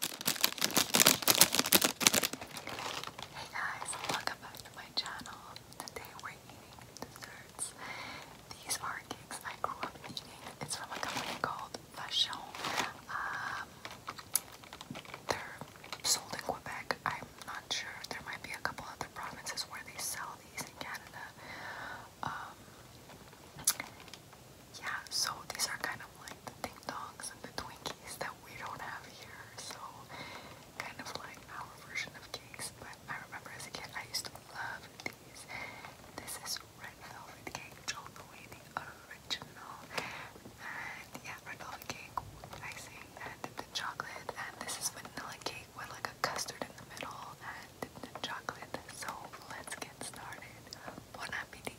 Hey guys, welcome back to my channel. Today we're eating desserts. These are cakes I grew up eating. It's from a company called Vachon. Um, they're sold in Quebec. I'm not sure. There might be a couple other provinces where they sell these in Canada. Um, yeah, so these are kind of like the ding dongs and the Twinkies that we don't have here, so kind of like our version of cakes. But I remember as a kid, I used to love these. This is red velvet cake, all the original, and yeah, red velvet cake icing and the chocolate. And this is vanilla cake with like a custard in the middle and chocolate. So let's get started. Bon appetit.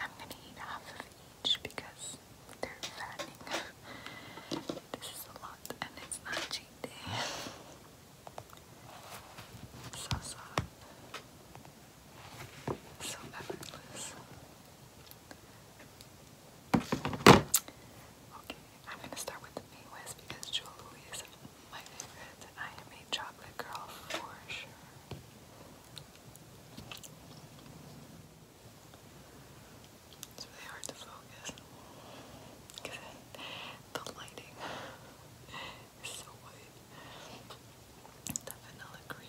I'm gonna eat half of each because they're fattening. this is a lot and it's not cheap So soft. So effortless. Okay, I'm gonna start with the Mayweather because Jewel Louis is my favorite. I am a chocolate girl for sure. It's really hard to focus because the lighting is so white. The vanilla cream.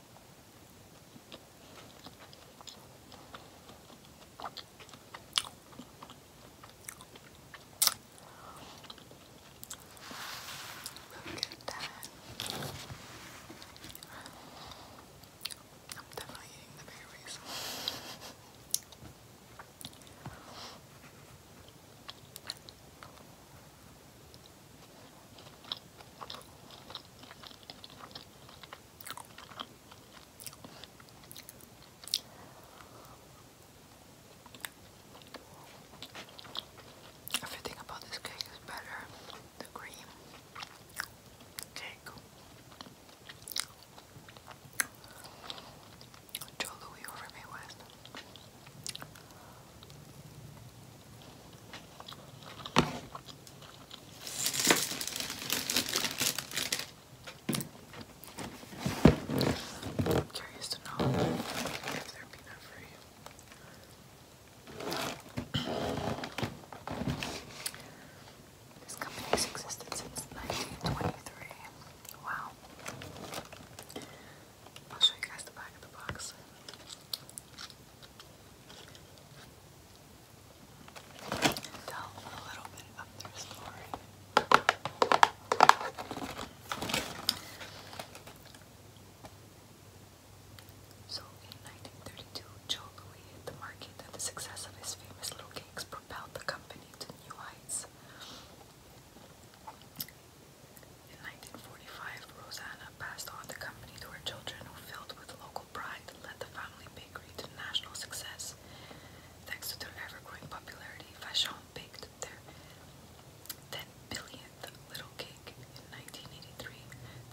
Look at that. I'm definitely eating the berries. Everything about this cake is better. The cream, the cake. Joe Louis over me I'm curious to know if they're peanut free. This company's existed since 1923. Wow. I'll show you guys the back of the box. a little bit of their story. So in 1932, Joe Louis hit the market and the success of his famous little cakes propelled the company to new heights. In 1945, Rosanna passed on the company to her children, who, filled with local pride, led the family bakery to national success. Thanks to their ever-growing popularity, Vachon baked their 10 billionth little cake in 1983.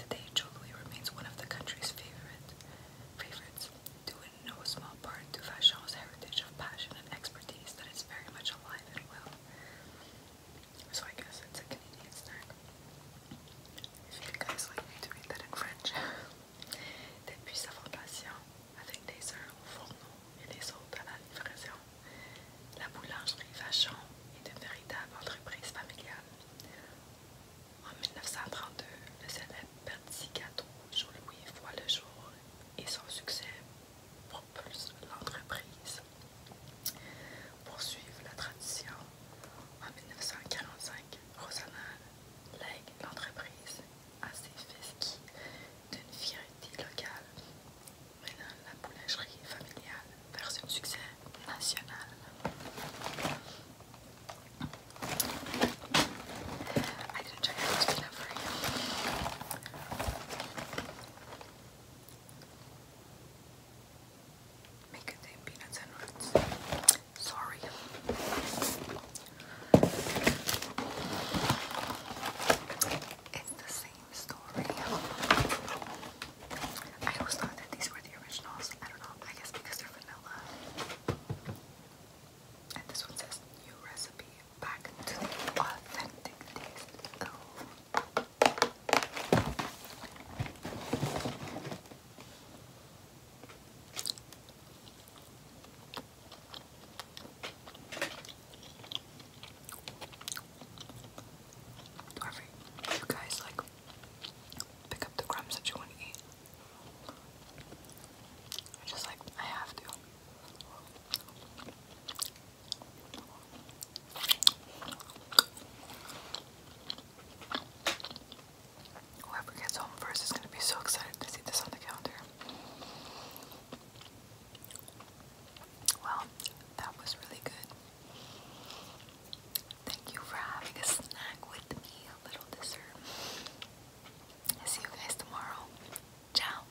Today, Jolui remains one of the country's favorite favorites, due in no small part to Vachon's heritage of passion and expertise that is very much alive and well. Depuis sa snack. fondation avec des œufs au fourneau et des autres à la livraison. La boulangerie Vachon est une véritable entreprise familiale. En 1932, le célèbre petit gâteau Jean-Louis voit le jour et son succès propulse l'entreprise. Poursuivre la tradition, en 1945, Rosanal lègue l'entreprise à ses fils qui, d'une fierté locale, mènent la boulangerie familiale vers un succès national. Make it say peanuts and nuts. Sorry. It's the same story. I always thought that these were the originals. I don't know. I guess because they're vanilla. And this one says new recipe back to the authentic taste. Dorothy, you guys like pick up the crumbs that you want to eat. I just like I have to. Whoever gets home first is going to be so excited to see this on the calendar. Well, that was really good. Thank you for having a snack with me, a little dessert. see you guys tomorrow. Ciao.